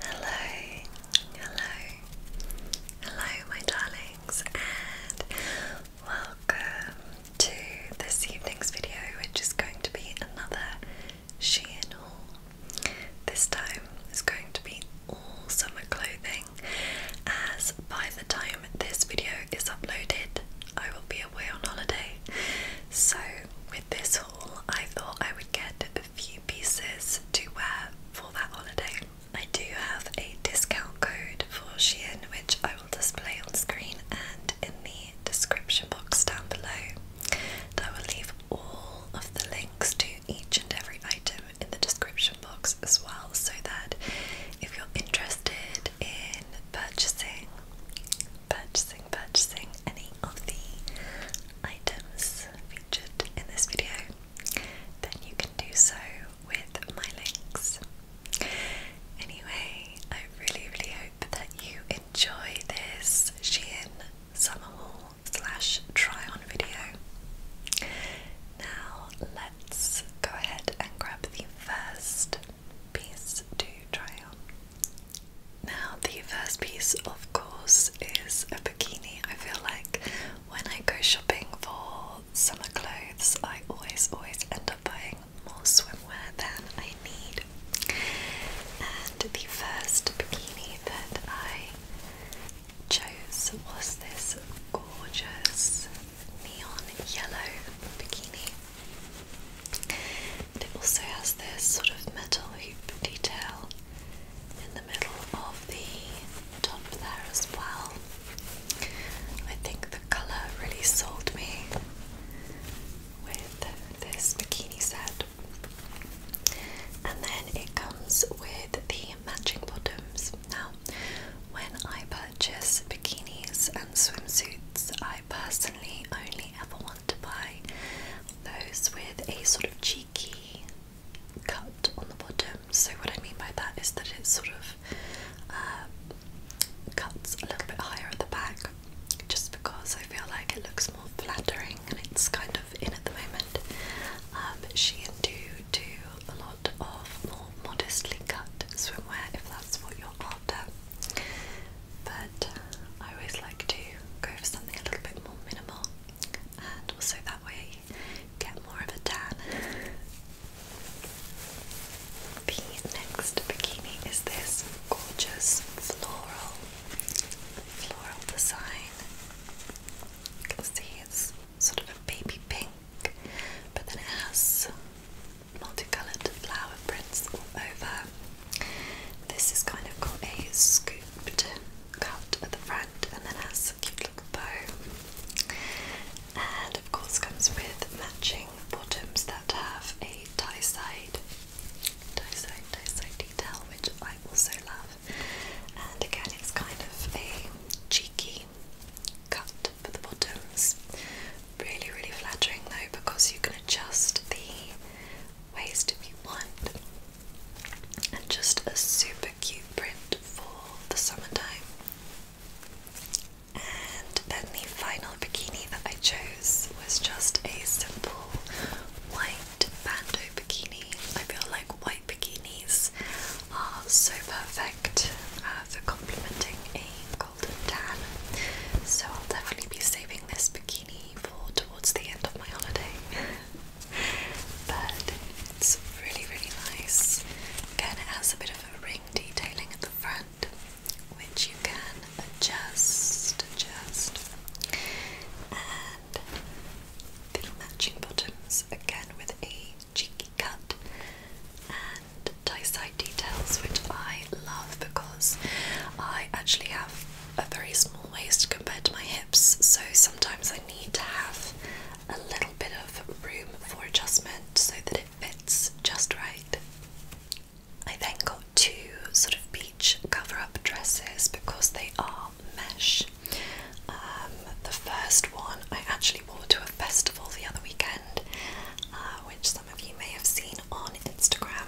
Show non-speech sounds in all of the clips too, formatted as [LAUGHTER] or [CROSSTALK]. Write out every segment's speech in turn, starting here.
Hello, hello, hello, my darlings, and welcome to this evening's video, which is going to be another Shein haul. This time is going to be all summer clothing, as by the time this video is uploaded, I will be away on holiday. So, with this haul, I thought I would get a few pieces to wear for that holiday. I do have a discount code for Shein, which I will display on screen and in the description box down below. I will leave all of the links to each and every item in the description box as well, so that if you're interested in purchasing, purchasing, purchasing any of the items featured in this video, then you can do so with my links. Anyway, I really, really hope that you enjoy this Shein summer haul slash try on video. Now let's go ahead and grab the first piece to try on. Now, the first piece, of course, is a bikini. I feel like when I go shopping for summer clothes, I always, always end up buying more swimwear than I need. And the first bikini that I chose was this gorgeous neon yellow bikini. it also has this sort of metal hoop detail in the middle of the top there as well. I think the colour really sold me with this bikini set. And then it comes with the matching bottoms. Now, when I purchase bikinis and swimsuits, I I personally only ever want to buy those with a sort of cheeky cut on the bottom. So, what I mean by that is that it sort of um, cuts a little bit higher at the back just because I feel like it looks more flattering and it's kind of in at the moment. Um, she and do do a lot of more modestly cut swimwear if that's what you're after. But I always like to go for something a little bit more minimal, and also that way get more of a tan. The next bikini is this gorgeous floral, floral design. You can see it's sort of a baby pink, but then it has multicoloured flower prints over. This is kind of got a scooped cut at the front and then has a cute little bow. And of course comes with matching bottoms that have a tie side, tie side, tie side detail, which I also love. And again, it's kind of a cheeky cut for the bottoms. Really, really flattering though because you can adjust the waist if you want. And just a super cute print for the summertime. And then the final bikini that I chose was just a simple white bandeau bikini. I feel like white bikinis are so perfect uh, for complementing a so I'll definitely be saving this bikini for towards the end of my holiday. [LAUGHS] but it's really, really nice. Again, it has a bit of a ring detailing at the front, which you can adjust, adjust. And the matching bottoms again with a cheek cut and tie side details, which I love because I actually have a very small waist compared to my hips, so sometimes I need to have a little bit of room for adjustment so that it fits just right. I then got two sort of beach cover up dresses because they are mesh. Um, the first one I actually people to a festival the other weekend, uh, which some of you may have seen on Instagram.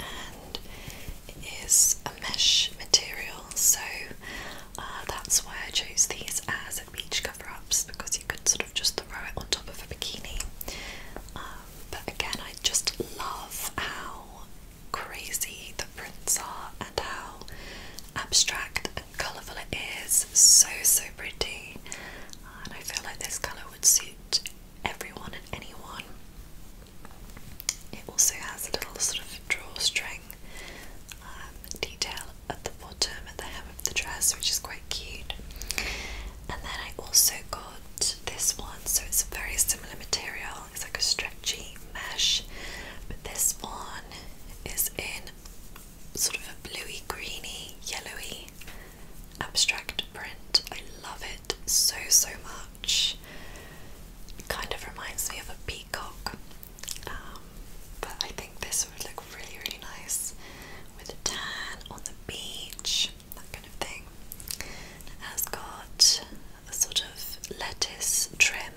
And it is a mesh material, so uh, that's why I chose these as beach cover ups because you could sort of just throw it on top of a bikini. Um, but again, I just love how crazy the prints are and how abstract colourful it is. So, so pretty. Uh, and I feel like this colour would suit everyone and anyone. It also has a little sort of drawstring um, detail at the bottom, at the hem of the dress, which is quite cute. And then I also got this one, so it's a very similar material. It's like a stretchy mesh, but this one is in sort of a bluey, greeny, yellowy abstract print. I love it so, so much. kind of reminds me of a peacock, um, but I think this would look really, really nice with tan on the beach, that kind of thing. It has got a sort of lettuce trim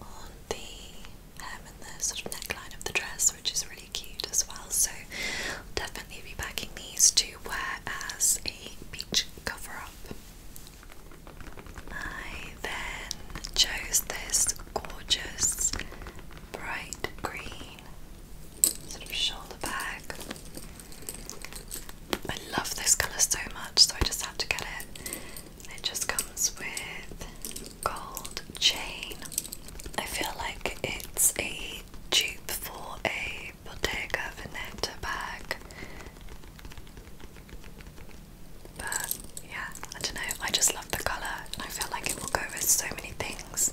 on the um, and the sort of neckline of the dress, which is really cute as well. So, I'll definitely be packing these to wear as a beach cover up. I then chose this gorgeous bright green sort of shoulder bag. I love this colour so much, so I just had to get it. It just comes with gold chain. I feel like it's a dupe for a Bottega Veneta bag. But yeah, I don't know. I just love the colour and I feel like it will go with so many things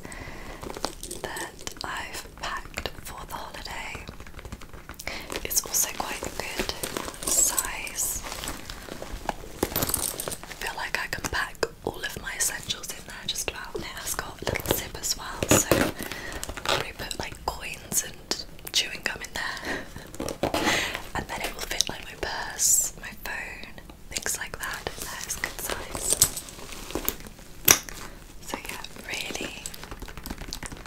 that I've packed for the holiday. It's also quite good size. I feel like I can pack all of my essentials in there just about. it has got little zip as well, so I'll put like coins and chewing gum in there. [LAUGHS] and then it will fit like my purse, my phone, things like that in good size. So yeah, really,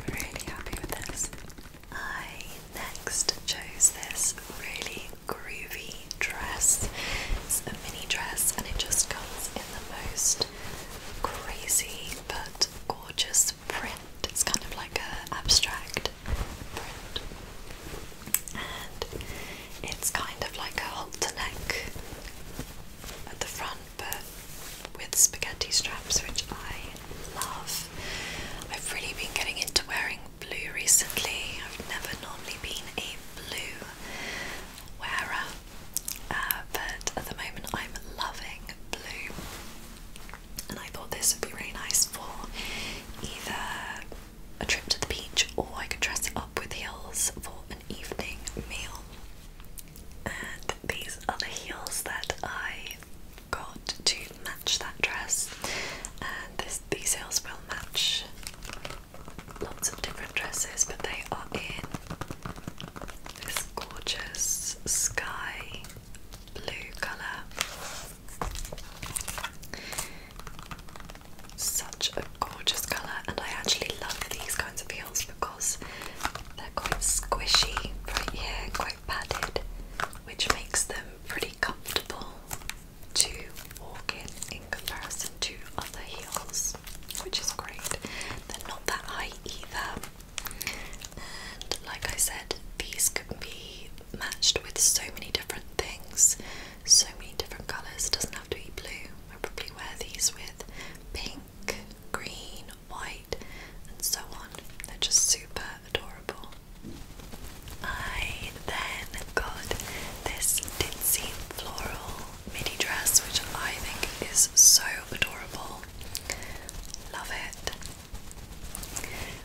really happy with this. I next chose this really groovy dress. It's a mini dress and it just comes in the most crazy but gorgeous print. It's kind of like a abstract print. And it's kind of like a halter neck at the front but with spaghetti straps which I love. I've really been getting into wearing blue recently. I've never normally been a blue wearer, uh, but at the moment I'm loving blue. And I thought this would be really nice for either a trip to the beach or I could dress it up with heels for an evening meal. And these are the heels that I got to match that dress, and these heels will match lots of different dresses, but they are in this gorgeous sky blue colour. Such a gorgeous colour, and I actually love these kinds of heels because they're quite squishy right here, quite padded, which makes them pretty comfortable to walk in in comparison to other heels, which is great. They're not that high either, and like I said, these could be matched with so many different things, so many different colours. It doesn't have to be blue. I probably wear these with pink, green, white, and so on. They're just super adorable. I then got this ditzy floral midi dress, which I think is so adorable. Love it.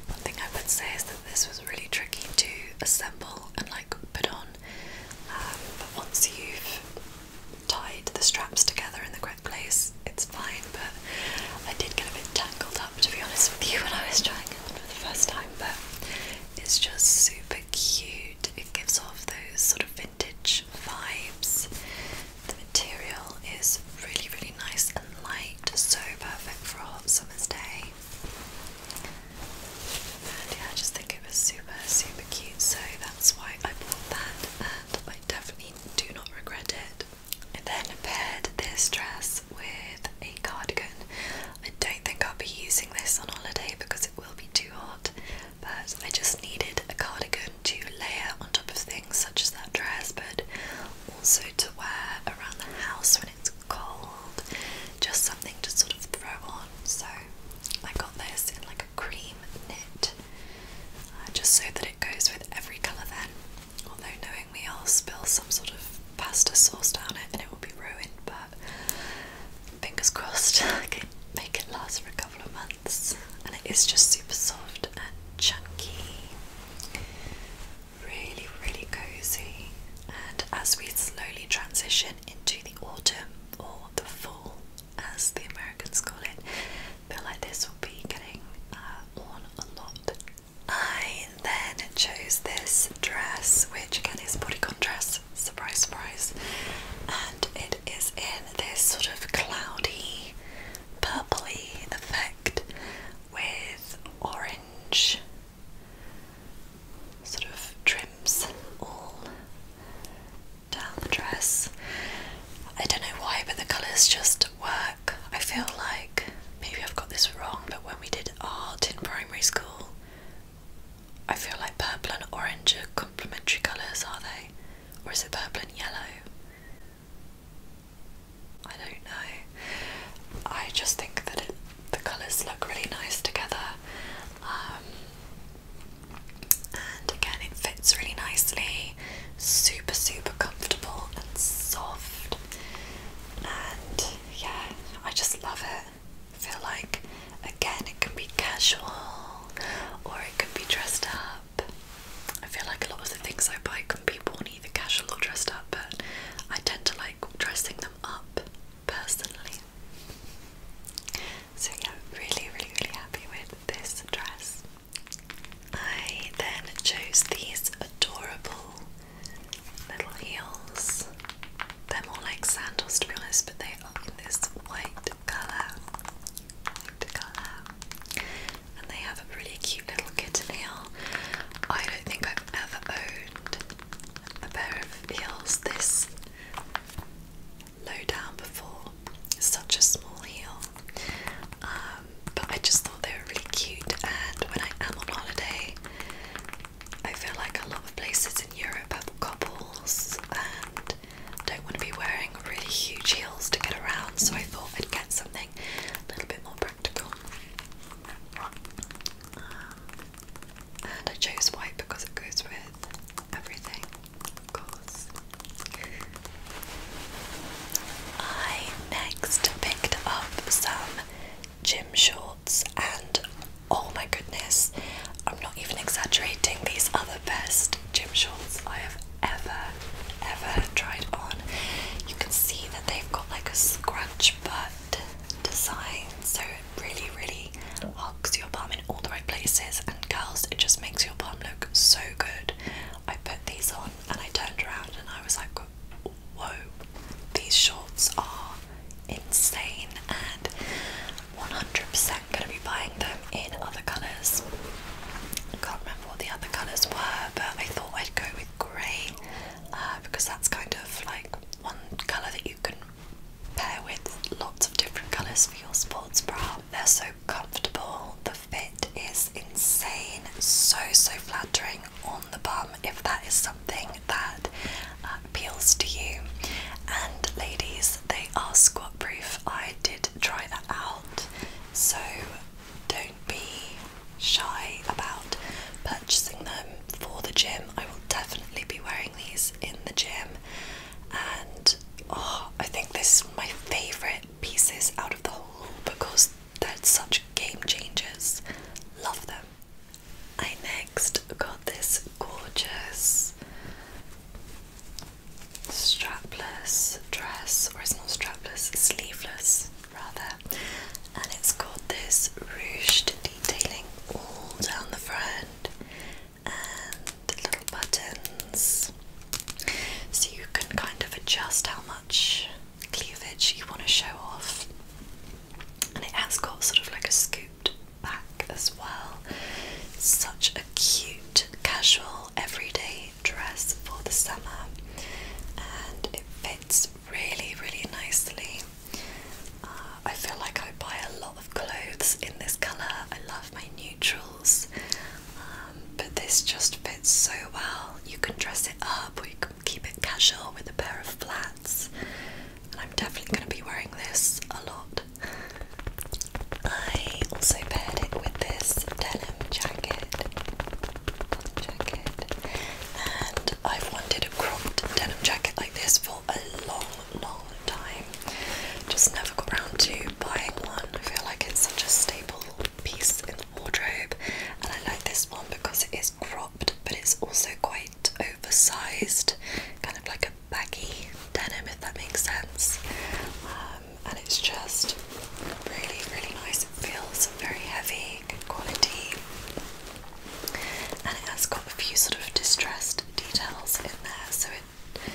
One thing I would say is that this was really tricky to assemble and like put on, um, but once you've tied the straps together in the Place it's fine, but I did get a bit tangled up to be honest with you when I was trying it for the first time, but it's just super cute. It gives off those sort of vintage vibes. The material is really, really nice and light, so perfect for a hot summer's day. And yeah, I just think it was super, super cute, so that's why I bought that, and I definitely do not regret it. I then paired this dress with a cardigan. I don't think I'll be using this on holiday because it will be too hot, but I just needed a cardigan to layer on top of things such as that dress, but also to wear around the house when it's cold, just something to sort of throw on. So I got this in like a cream knit uh, just so that it goes with every colour then. Although knowingly I'll spill some sort of pasta sauce down it and it will be ruined, but fingers crossed [LAUGHS] can make it last for a couple of months. And it is just super soft and chunky. Really, really cozy. And as we slowly transition into the autumn or the fall, as the Americans call it, feel like this will be getting uh, worn a lot. I then chose this dress, which again is a bodycon dress, surprise, surprise, and it is in this sort of cloudy, purpley effect with orange sort of trims all down the dress. I don't know why, but the colours just work, I feel like maybe I've got this wrong, but when we did art in primary school, I feel like purple and orange are complementary colours, are they? Or is it purple and yellow? I don't know. I just think that the colours look really nice together. Um, and again, it fits really nicely super, super comfortable and soft. And yeah, I just love it. I feel like, again, it can be casual or it can be dressed up. I feel like a lot of the things I buy can be worn either casual or dressed up, but I tend to like dressing them up personally. So yeah, really, really, really happy with this dress. I then chose these adorable little heels. They're more like sandals to be honest, but they are in this white colour. And they have a really cute little kitten heel. I don't think I've ever owned a pair of heels this low down before heel, such a small heel. Um, but I just thought they were really cute, and when I am on holiday, I feel like a lot of places in Europe have couples and don't want to be wearing really huge heels to get around, so I thought I'd get something a little bit more practical. Um, and I chose white because it goes with everything. Of course. I next picked up some gym shorts, and oh my goodness, I'm not even exaggerating, these are the best gym shorts I have ever, ever tried on. You can see that they've got like a scratch butt design, so it really, really hugs your bum in all the right places. And girls, it just makes your bum look so good. I put these on and I turned around and I was like, whoa, these shorts are insane and 100% going to be buying them in other colours. I can't remember what the other colours were, but I thought I'd go with grey uh, because that's kind of like one colour that you can pair with lots of different colours for your sports bra. They're so comfortable, fit is insane, so so flattering on the bum if that is something that uh, appeals to you. And ladies, they are squat proof. I did try that out, so don't be shy about purchasing them for the gym. I will definitely be wearing these in the gym, and oh, I think this is my favorite pieces out of the whole because they're such game changers. Love them. I next got this gorgeous strapless dress, or it's not strapless, sleeveless rather, and it's got this ruched detailing all down the front the little buttons so you can kind of adjust how much cleavage you want to show off. And it has got sort of like a scooped back as well. Such a cute, casual, everyday dress for the summer, and it fits really, really nicely. Uh, I feel like I buy a lot of clothes in this colour. I love my neutral um, but this just fits so well. You can dress it up or you can keep it casual with a pair of flats. And I'm definitely going to be wearing this a lot. I also paired it with this denim jacket. jacket. And I've wanted a cropped denim jacket like this for a long, long time. Just never got around to buying one. I feel like it's such a staple piece in the wardrobe, and I like this one because it is cropped, but it's also quite oversized, kind of like a baggy denim, if that makes sense. Um, and it's just really, really nice. It feels very heavy, good quality, and it has got a few sort of distressed details in there, so it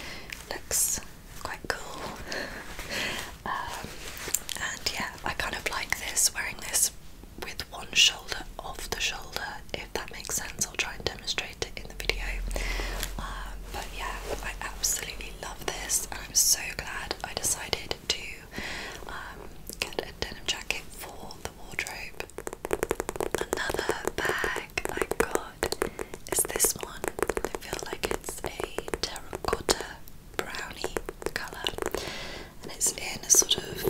looks quite cool. Um, and yeah, I kind of like this, wearing this with one shoulder off the shoulder, if that makes sense. I'll try and demonstrate it in the video. Um, but yeah, I absolutely love this, and I'm so glad I decided to um, get a denim jacket for the wardrobe. Another bag I it's this one. I feel like it's a terracotta brownie colour and it's in a sort of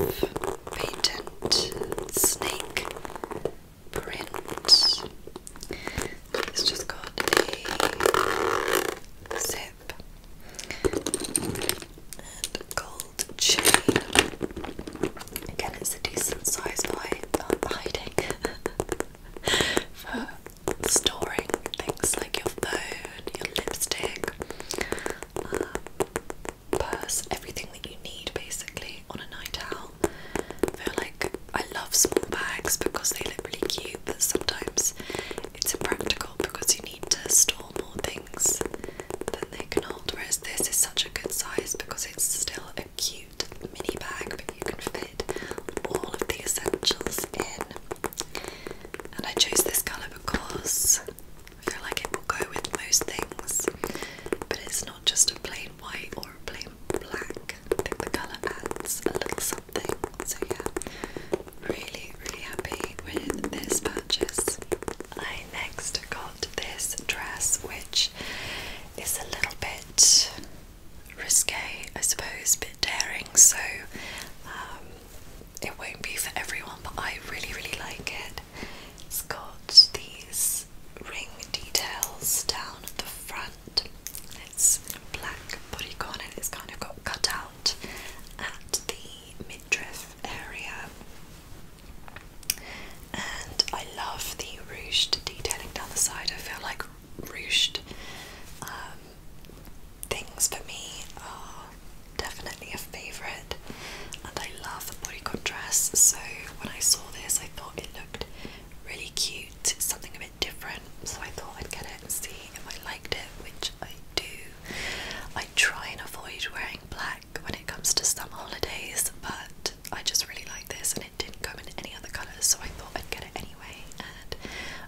patent snake print. It's just got a zip and a gold chain. Again, it's a decent size I'm hiding. [LAUGHS] for storing things like your phone, your lipstick, um, purse, everything that you need basically on a night out. they like, I love small bags because they look really cute, but sometimes it's impractical because you need to store more things than they can hold. Whereas this is such a good size because it's still cute mini bag, but you can fit all of the essentials in. And I chose this colour because I feel like it will go with most things, but it's not just a plain white or a plain black. I think the colour adds a little something. So, yeah, really, really happy with this purchase. I next got this dress, which is a little bit risque, I suppose, a bit daring, so um, it won't be for everyone, but I really, really like it. It's got these ring details down at the front. It's black bodycon and it's kind of got cut out at the midriff area and I love the ruched detailing down the side. I feel like ruched um, things for me are definitely a favourite, and I love the body contrast. So when I saw this, I thought it looked really cute, it's something a bit different. So I thought I'd get it and see if I liked it, which I do. I try and avoid wearing black when it comes to summer holidays, but I just really like this and it didn't come in any other colours, so I thought I'd get it anyway, and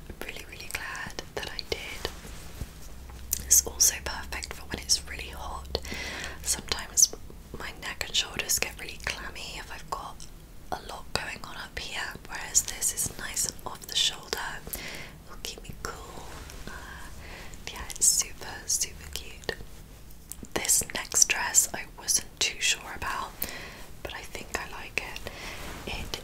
I'm really, really glad that I did. It's also perfect for when it's really hot. Sometimes my neck and shoulders get really clammy if I've got a lot going on up here, whereas this is nice and off the shoulder. It'll keep me cool. Uh, yeah, it's super, super cute. This next dress I wasn't too sure about, but I think I like it. It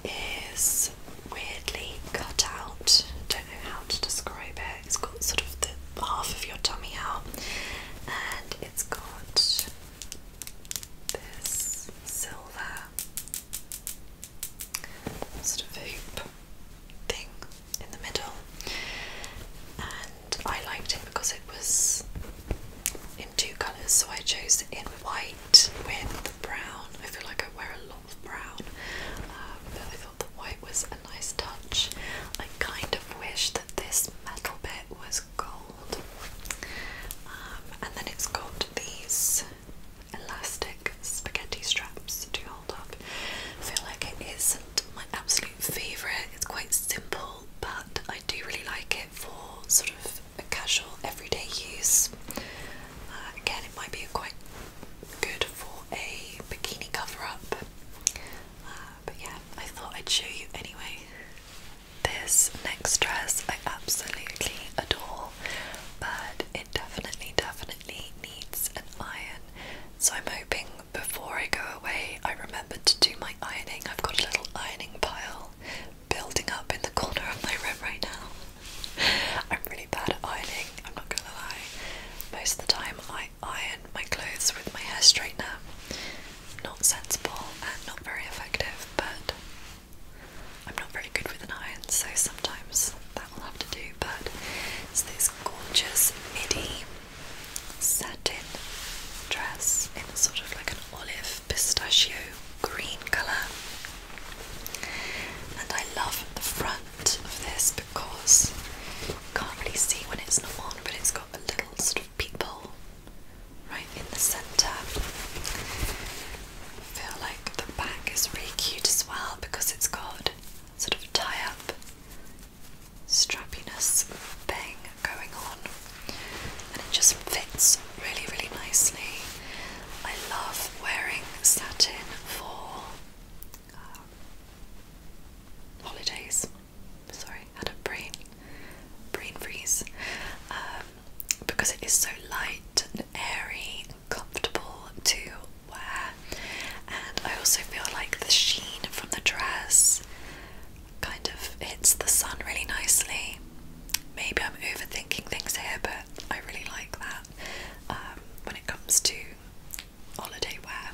is weirdly cut out, I don't know how to describe it. It's got sort of the half of your tummy out, and it's got this silver sort of hoop thing in the middle, I liked it because it was in two colours, so I chose it in white with brown. I feel like I wear a lot of brown, um, but I thought the white was a nice touch. I kind of wish that this metal bit was gold, um, and then it's got these elastic spaghetti straps to hold up. I feel like it isn't my absolute favourite, it's quite simple but I do really like it for sort of a casual everyday use. Uh, again, it might be quite good for a bikini cover up, uh, but yeah, I thought I'd show you anyway. This next dress I absolutely adore, but it definitely, definitely needs an iron. So I'm hoping before I go away, I remembered to do my ironing. I've got a little ironing pile building up in the corner of my room right now. I'm really bad at ironing, I'm not gonna lie. Most of the time, I iron my clothes with my hair straightener. Not sensible and not very effective, but I'm not very good with an iron, so sometimes that will have to do. But it's this gorgeous midi satin dress in sort of like an olive pistachio green colour. And I love the front of this because you can't really see when it's not on, but it's got a little sort of peephole right in the centre. I feel like the back is really cute as well because it's got sort of tie up strappiness thing going on, and it just fits really, really nicely. I love wearing satin for um, holidays. Sorry, had a brain brain freeze um, because it is so light and airy and comfortable to wear, and I also feel like the sheen from the dress kind of hits the sun really nicely. Maybe I'm overthinking things here, but I really like that um, when it comes to holiday wear.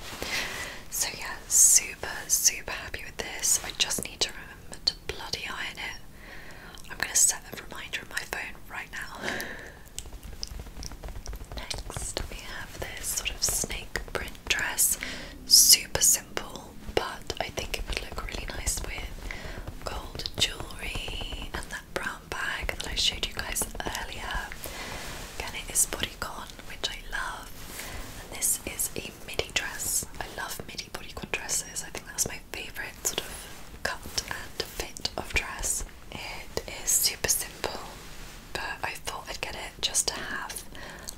So, yeah, super, super happy with this. I just need to remember to bloody iron it. I'm going to set a reminder on my phone right now. [LAUGHS] Next, we have this sort of snake print dress. Super simple, but I think it would look really nice with gold jewellery and that brown bag that I showed you guys earlier. Again, it is bodycon, which I love. And this is a midi dress. I love midi bodycon dresses. I think that's my favourite sort of cut and fit of dress. It is super simple but I thought I'd get it just to have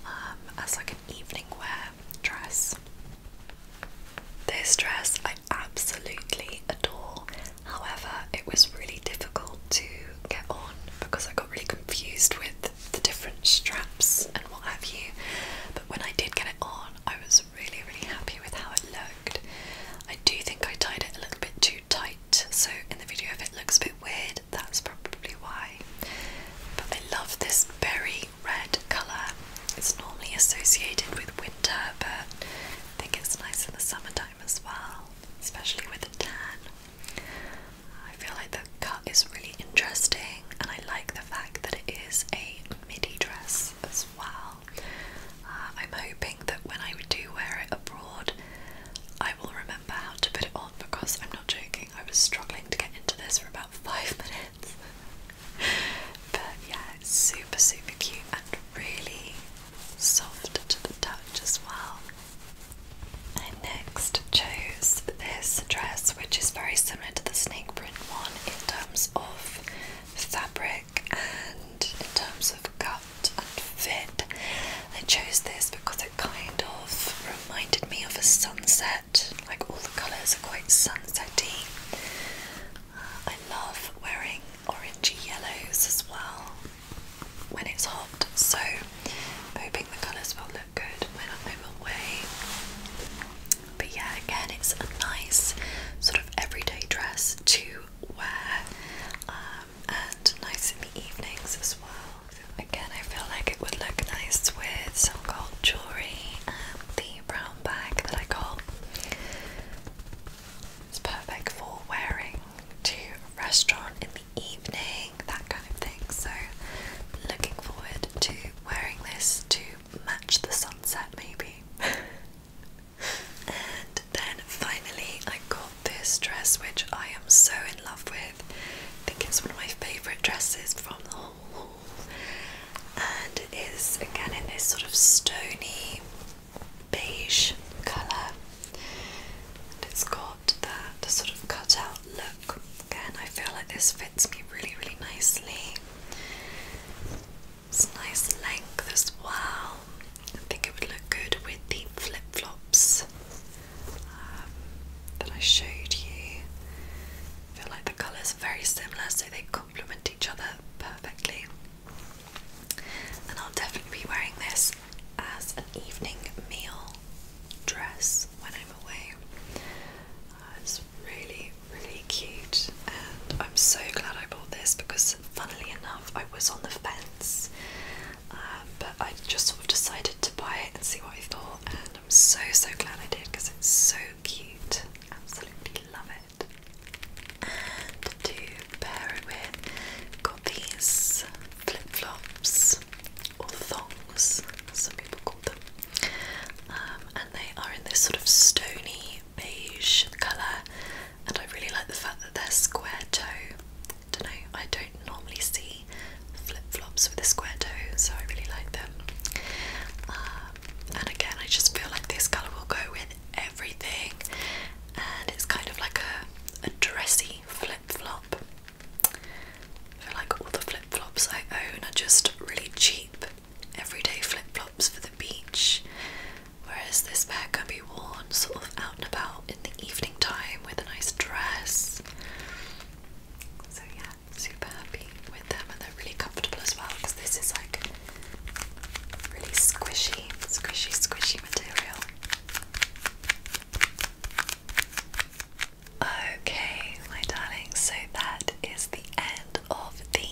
um, as like an evening wear dress. This dress I absolutely adore, however, it was really difficult to get on because I got really confused with the different straps and what have you. But when I did get it on, I was really, really happy with how it looked. I do think I tied it a little bit too tight, so in the video, if it looks a bit weird, that's probably why. But I love this very red colour. It's normally associated with winter, but I think it's nice in the summertime as well, especially with a tan. I feel like the cut is really interesting, and I like the fact that it is a midi dress as well. Uh, I'm hoping that when I do wear it abroad, I will remember how to put it on because I'm not joking, I was struggling to get into this for about five [LAUGHS] minutes. but yeah, it's super, super cute and really soft to the touch as well. I next chose this dress, which is very similar to the snake print one in terms of fabric and in terms of cut and fit. I chose this because it kind of reminded me of a sunset, like all the colours are quite sunsetty. Uh, I love wearing orangey yellows as well when it's hot, so hoping the colours will look good when I'm away. But yeah, again, it's a nice sort of everyday dress to wear uh, and nice in the evenings as well. Again, I feel like it would look nice with some gold jewellery and the brown bag that I got. It's perfect for wearing to a restaurant in the evening, that kind of thing. So, looking forward to wearing this to match the sunset, maybe. [LAUGHS] and then finally, I got this dress, which I am so in love with. I think it's one of my favourite dresses from the whole haul. And it is again in this sort of stony beige colour. And it's got that sort of cut out look. Again, I feel like this fits me really, really nicely. It's nice length as well. I think it would look good with the flip flops um, that I showed you. I feel like the colours are very similar, so they complement each other perfectly. And I'll definitely be wearing this as an evening meal dress when I'm away. Uh, it's really, really cute, and I'm so glad I bought this because, funnily enough, I was on the fence um, but I just sort of decided to buy it and see what I thought, and I'm so so glad I did because it's so cute. Absolutely love it. And to pair it with, got these flip flops or thongs, as some people call them, um, and they are in this sort of stony beige colour, and I really like the fact that they're square toe. Don't know, I don't normally see flip flops with a square toe, so I really like them. Uh, and again, I just feel like this colour will go with everything, and it's kind of like a, a dressy flip flop. I feel like all the flip flops I own are just really cheap, everyday flip flops for the beach. Whereas this pair can be worn sort of out and about in the evening time with a nice dress. So yeah, super happy with them and they're really comfortable as well because this is like really squishy, squishy, squishy material. Okay, my darling, so that is the end of the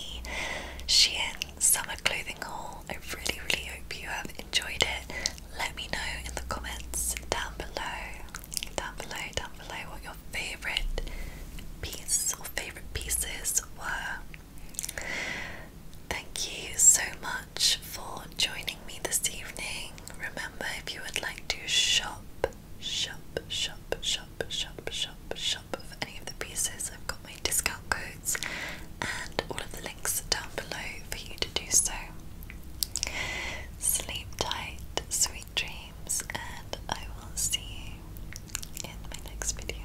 Shein summer clothing haul. I really, really hope you have enjoyed it. Let me know in the comments down below, down below, down below what your favourite piece or favourite pieces were. Thank you so much for joining me this evening. Remember, if you would like to shop, shop, shop, shop, shop, shop, shop for any of the pieces, I've got my discount code and all of the links are down below for you to do so. Sleep tight, sweet dreams, and I will see you in my next video.